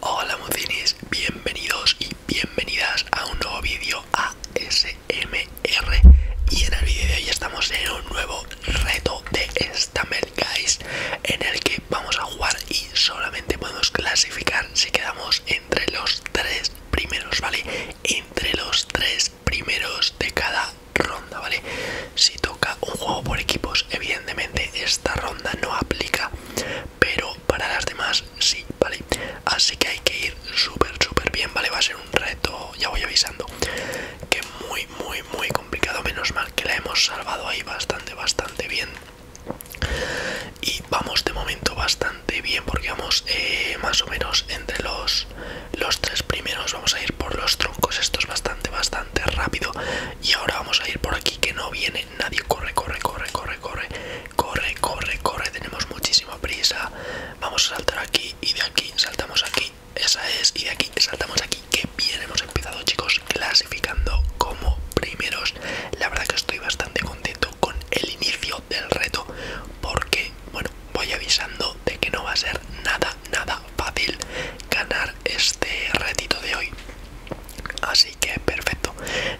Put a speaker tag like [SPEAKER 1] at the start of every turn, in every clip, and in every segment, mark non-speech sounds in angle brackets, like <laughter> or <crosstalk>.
[SPEAKER 1] Hola mocinis, bienvenidos y bienvenidas a un nuevo vídeo ASMR Y en el vídeo de hoy estamos en un nuevo reto de Stammer Guys En el que vamos a jugar y solamente podemos clasificar si quedamos entre los tres primeros, ¿vale? Entre los tres primeros de cada ronda, ¿vale? Si toca un juego por equipos, evidentemente esta ronda no aplica pero para las demás sí, ¿vale? Así que hay que ir súper, súper bien, ¿vale? Va a ser un reto, ya voy avisando, que muy, muy, muy complicado, menos mal que la hemos salvado ahí bastante, bastante bien. Y vamos de momento bastante bien porque vamos eh, más o menos entre los, los tres primeros. Vamos a ir por los troncos, esto es bastante, bastante rápido. Y ahora vamos a ir por aquí que no viene nadie corre, corre, corre, corre, corre, corre, corre, corre, tenemos muchísima prisa. Vamos a saltar aquí y de aquí saltamos aquí. Esa es, y de aquí saltamos aquí. que bien hemos empezado, chicos, clasificando como primeros. La verdad que estoy bastante contento con el inicio del reto porque, bueno, voy avisando de que no va a ser nada, nada fácil ganar este retito de hoy. Así que perfecto.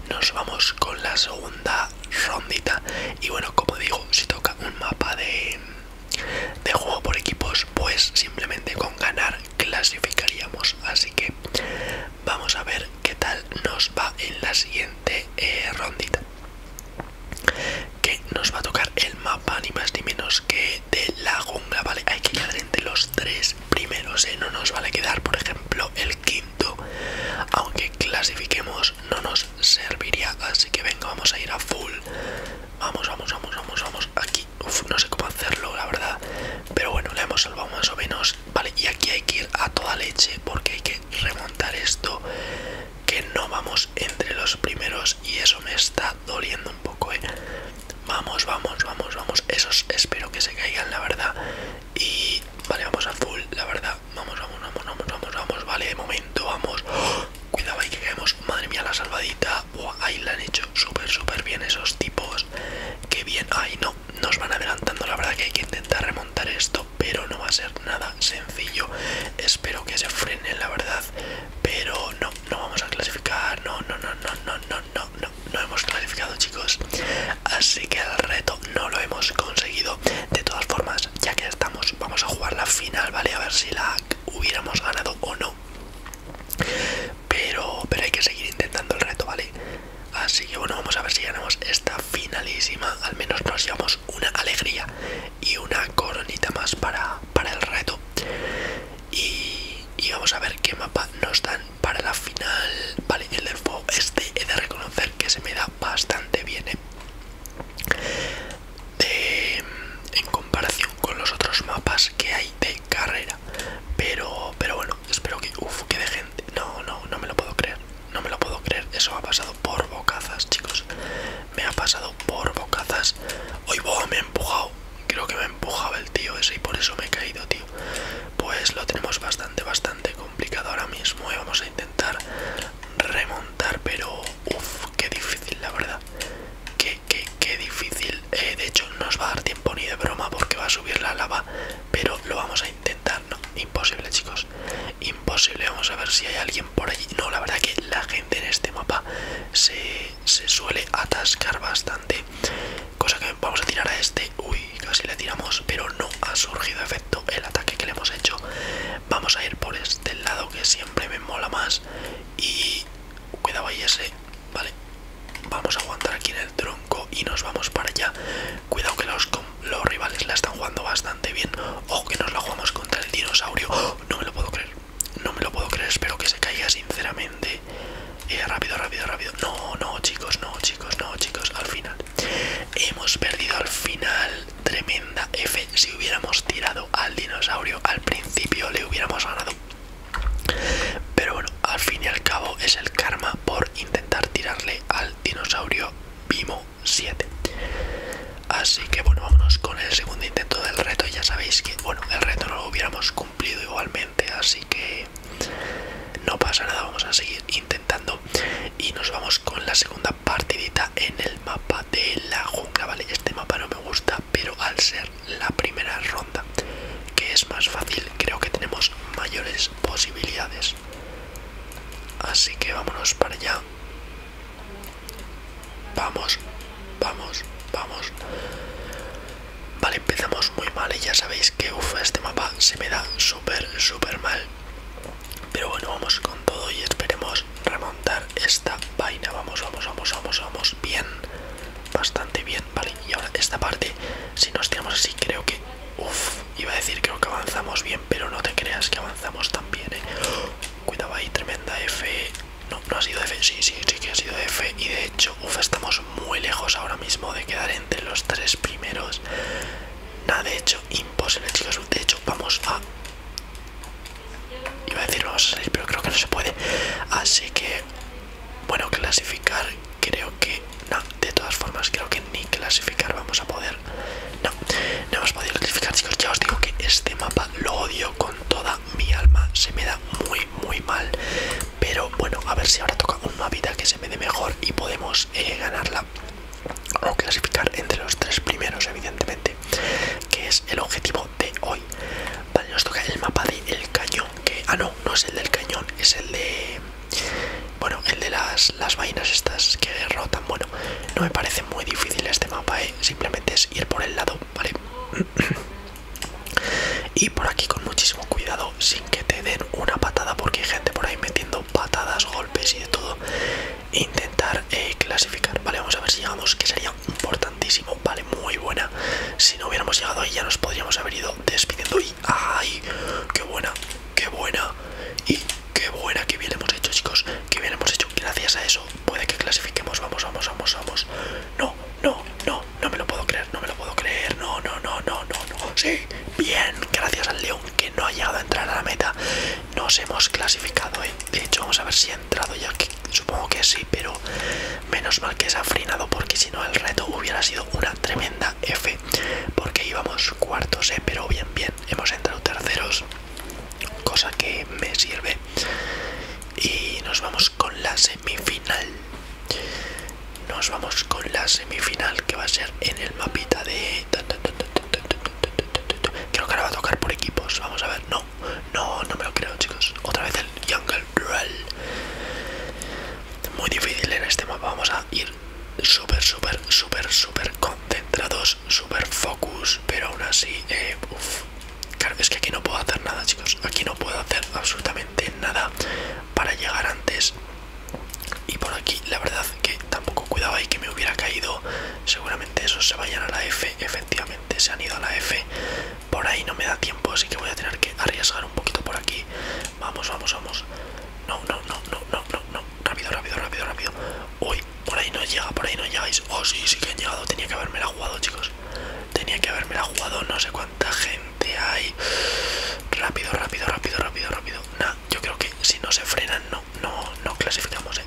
[SPEAKER 1] Nos vamos con la segunda rondita. Y bueno, como digo, si toca un mapa de, juego por equipos, pues simplemente con ganar clasificaríamos. Así que vamos a ver qué tal nos va en la siguiente eh, rondita. Que nos va a tocar el mapa ni más ni menos que de la jungla, ¿vale? Hay que ir entre los tres primeros, ¿eh? no nos vale quedar, por ejemplo, el quinto, aunque clasifiquemos no nos serviría, así que venga, vamos a ir a full, vamos, vamos, vamos, vamos, vamos, aquí, no sé cómo hacerlo, la verdad, pero bueno, la hemos salvado más o menos, vale, y aquí hay que ir a toda leche porque hay que remontar esto, que no vamos entre los primeros y eso me está doliendo un poco, ¿eh? Vamos, vamos, vamos, vamos. Esos espero que se caigan, la verdad. Y vale, vamos a full, la verdad. Vamos, vamos, vamos, vamos, vamos, vamos. Vale, de momento, vamos. <gasps> Cuidado ahí que caemos. Madre mía, la salvadita. ahí la han hecho súper, súper bien esos tipos. Qué bien. Ay, no, nos van adelantando. La verdad que hay que intentar remontar esto, pero no va a ser nada sencillo. Espero que se frenen, la verdad. Pero no, no vamos a clasificar. No, no, no, no, no, no, no no, no, hemos calificado chicos Así que el reto no lo hemos conseguido De todas formas, ya que estamos, vamos a jugar la final, ¿vale? A ver si la hubiéramos ganado o no pero, pero hay que seguir intentando el reto, ¿vale? Así que bueno, vamos a ver si ganamos esta finalísima Al menos nos llevamos una alegría y una coronita más para, para el reto y, y vamos a ver qué mapa nos dan para la final. Vale, el del fuego este he de reconocer que se me da bastante bien, ¿eh? Eh, en comparación con los otros mapas que hay de carrera. Pero, pero bueno, espero que... uff, que de gente... No, no, no me lo puedo creer. No me lo puedo creer. Eso ha pasado por bocazas, chicos. Me ha pasado por bocazas. Hoy, me ha empujado. Creo que me empujaba el tío ese y por eso me he caído, tío. Pues lo tenemos bastante, bastante complicado ahora mismo y ¿eh? vamos a intentar remontar, pero uff, qué difícil, la verdad. Qué, qué, qué difícil. Eh, de hecho, no os va a dar tiempo ni de broma porque va a subir la lava, pero lo vamos a intentar. No, imposible, chicos. Imposible. Vamos a ver si hay alguien por allí. No, la verdad que la gente en este mapa se, se suele atascar bastante, cosa que Vamos a tirar a este. Uy, casi le tiramos, pero no ha surgido efecto el ataque que le hemos hecho. Vamos a ir por este lado que siempre me mola más. Y cuidado ahí ese. Vale. Vamos a aguantar aquí en el tronco y nos vamos para allá. Cuidado que los, los rivales la están jugando bastante bien. Ojo que nos la jugamos contra el dinosaurio. No me lo puedo creer. No me lo puedo creer. Espero que se caiga sinceramente rápido rápido rápido no no chicos no chicos no chicos al final hemos perdido al final tremenda f si hubiéramos tirado al dinosaurio al principio le hubiéramos ganado pero bueno al fin y al cabo es el karma por intentar tirarle al dinosaurio Bimo 7 Así que bueno, vámonos con el segundo intento del reto. Ya sabéis que, bueno, el reto no lo hubiéramos cumplido igualmente, así que no pasa nada, vamos a seguir intentando y nos vamos con la segunda partidita en el mapa de la jungla, ¿vale? Este mapa no me gusta, pero al ser la primera ronda, que es más fácil, creo que tenemos mayores posibilidades. Así que vámonos para allá. Vamos, vamos, vamos. Vale, empezamos muy mal y ya sabéis que uff, este mapa se me da súper, súper mal. Pero bueno, vamos con todo y esperemos remontar esta vaina. Vamos, vamos, vamos, vamos, vamos. Bien, bastante bien. Vale, y ahora esta parte, si nos tiramos así, creo que... Uff, iba a decir creo que avanzamos bien, pero no te creas que avanzamos tan bien, eh. Cuidado ahí, tremenda F. No, no ha sido F, sí, sí, sí que ha sido F. Y de hecho uf, estamos muy lejos ahora mismo de quedar entre los tres primeros. Nada, de hecho, imposible, chicos. De hecho, vamos a... Iba a decir vamos a salir, pero creo que no se puede. Así que, bueno, clasificar creo que... No, de todas formas, creo que ni clasificar vamos a poder. No, no hemos podido clasificar, chicos. Ya os digo que este mapa lo odio con toda mi alma. Se me da muy, muy mal. Pero bueno, a ver si ahora toca una vida que se me dé mejor y podemos eh, ganarla o clasificar entre los tres primeros, evidentemente, que es el objetivo de hoy. Vale, nos toca el mapa del cañón, que... Ah, no, no es el del cañón, es el de... Bueno, el de las, vainas estas que derrotan. Bueno, no me parece muy difícil este mapa, ¿eh? simplemente es ir por el lado, ¿vale? <clears throat> Y por aquí con muchísimo cuidado, sin que te den una patada, porque hay gente por ahí metiendo patadas, golpes y de todo. Intentar eh, clasificar, vale, vamos a ver si llegamos, que sería importantísimo, vale, muy buena. Si no hubiéramos llegado ahí ya nos podríamos haber ido despidiendo y ¡ay! ¡Qué buena! ¡Qué buena! Y qué buena, qué bien hemos hecho, chicos, qué bien hemos hecho. Gracias a eso puede que clasifiquemos. Vamos, vamos, vamos, vamos. No, no, no, no me lo puedo creer, no me lo puedo creer, no, no, no, no, no, no, sí, bien, gracias al León que no ha llegado a entrar a la meta, nos hemos clasificado, ¿eh? de hecho vamos a ver si ha entrado ya, que supongo que sí, pero menos mal que se ha frenado porque si no el reto hubiera sido una tremenda F, porque íbamos cuartos, ¿eh? pero bien, bien, hemos entrado terceros, cosa que me sirve, y nos vamos con la semifinal. Nos vamos con la semifinal que va a ser en el mapita de... Creo que ahora va a tocar por equipos. Vamos a ver. No, no, no me lo creo, chicos. Otra vez el Jungle Duel. Muy difícil en este mapa. Vamos a ir súper, súper, súper, súper concentrados. Súper focus. Pero aún así, eh, uff. Claro, es que aquí no puedo hacer nada, chicos. Aquí no puedo hacer absolutamente nada para llegar antes y por aquí la verdad que tampoco cuidaba y que me hubiera caído seguramente esos se vayan a la F efectivamente se han ido a la F por ahí no me da tiempo así que voy a tener que arriesgar un poquito por aquí vamos vamos vamos no no no no no no rápido rápido rápido rápido uy por ahí no llega por ahí no llegáis oh sí sí que han llegado tenía que haberme la jugado chicos tenía que haberme la jugado no sé cuánta Rápido, rápido, rápido, rápido, rápido. Nah, yo creo que si no se frenan, no, no, no clasificamos, ¿eh?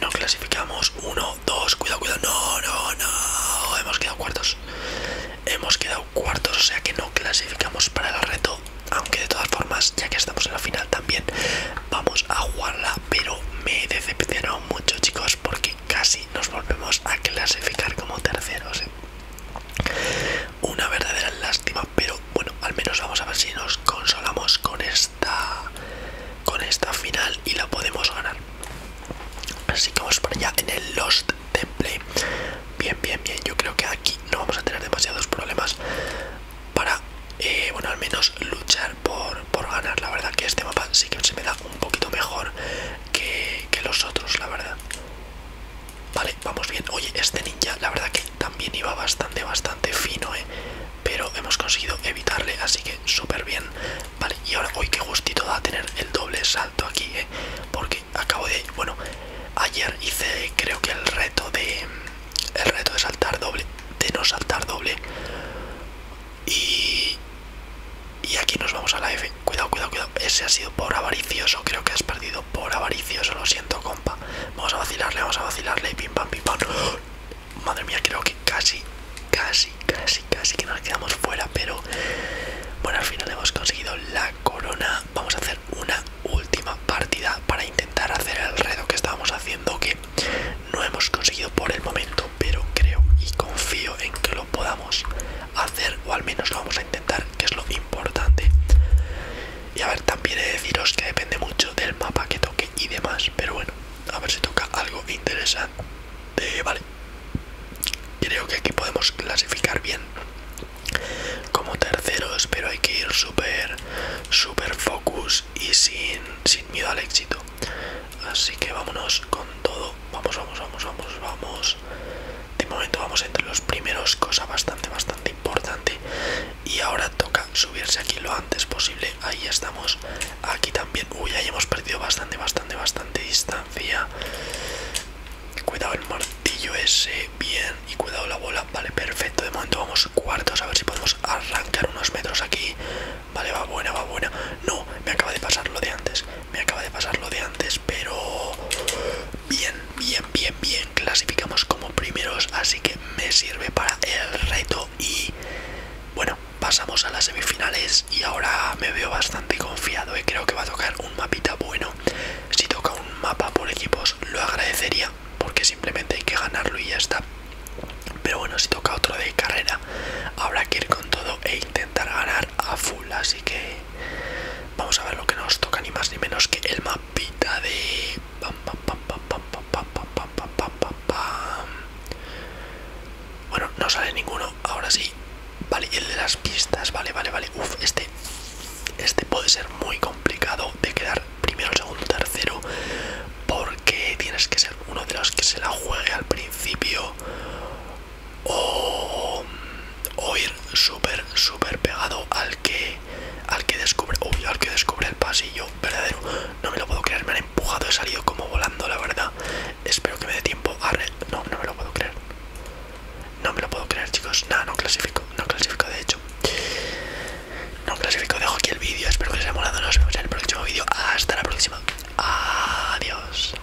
[SPEAKER 1] No clasificamos. Uno, dos, cuidado, cuidado. No, no, no. Hemos quedado cuartos. Hemos quedado cuartos, o sea que no clasificamos para el reto. Aunque de todas formas, ya que estamos en la final también, vamos a jugarla. Pero me decepcionó mucho, chicos, porque casi nos volvemos a clasificar como terceros. ¿eh? Una verdadera lástima, pero bueno, al menos vamos a ver si nos consolamos con esta con esta final y la podemos ganar. Así que vamos para allá en el Lost Temple. Bien, bien, bien. Yo creo que aquí no vamos a tener demasiados problemas para, eh, bueno, al menos luchar por, por ganar. La verdad que este mapa sí que se me da un poquito mejor que, que los otros, la verdad. Vale, vamos bien. Oye, este ninja, la verdad que también iba bastante, bastante fino, ¿eh? Pero hemos conseguido evitarle, así que súper bien. Vale, y ahora uy, qué gustito da tener el doble salto aquí, ¿eh? Porque acabo de... Bueno, ayer hice creo que el reto de... El reto de saltar doble, de no saltar doble. Y... Y aquí nos vamos a la F. Cuidado, cuidado, cuidado. Ese ha sido por avaricioso. Creo que has perdido por avaricioso. Lo siento, compa. Vamos a vacilarle, vamos a vacilarle. Pim, pam, pim, pam. <gasps> Madre mía, creo que casi, casi, casi, casi que nos quedamos fuera. Pero bueno, al final hemos conseguido la corona. Vamos a hacer una última partida para intentar hacer el reto que estábamos haciendo. Que no hemos conseguido por el momento. Pero creo y confío en que lo podamos hacer. O al menos lo vamos a intentar que es lo importante. Y a ver, también he de deciros que depende mucho del mapa que toque y demás, pero bueno, a ver si toca algo interesante. Vale, creo que aquí podemos clasificar bien como terceros, pero hay que ir súper, súper focus y sin, sin miedo al éxito. Así que vámonos con todo. Vamos, vamos, vamos, vamos, vamos de momento vamos entre los primeros, cosa bastante, bastante importante. Y ahora toca subirse aquí lo antes posible. Ahí estamos. Aquí también. Uy, ahí hemos perdido bastante, bastante, bastante distancia. Cuidado el martillo ese. Bien. Y cuidado la bola. Vale, perfecto. De momento vamos cuartos. A ver si podemos arrancar unos metros aquí. Vale, va buena, va buena. No, me acaba de pasar lo de antes. Me acaba de pasar lo de antes pero bien, bien, bien, bien clasificamos como primeros, así que me sirve para el reto y bueno, pasamos a las semifinales y ahora me veo bastante confiado y eh. creo que va a tocar un mapita bueno. Si toca un mapa por equipos lo agradecería porque simplemente hay que ganarlo y ya está. Pero bueno, si toca otro de carrera habrá que ir con todo e intentar ganar a full, así que Vamos a ver lo que nos toca, ni más ni menos que el mapita de... Bueno, no sale ninguno, ahora sí. Vale, el de las pistas, vale, vale, vale. Uf, este, este puede ser muy complicado de quedar primero, segundo, tercero. Porque tienes que ser uno de los que se la juegue al principio o, ir súper súper pegado al que al que descubre al que descubre el pasillo verdadero no me lo puedo creer me han empujado he salido como volando la verdad espero que me dé tiempo a re no no me lo puedo creer no me lo puedo creer chicos nada no clasifico no clasifico de hecho no clasifico dejo aquí el vídeo espero que os haya molado nos vemos en el próximo vídeo hasta la próxima adiós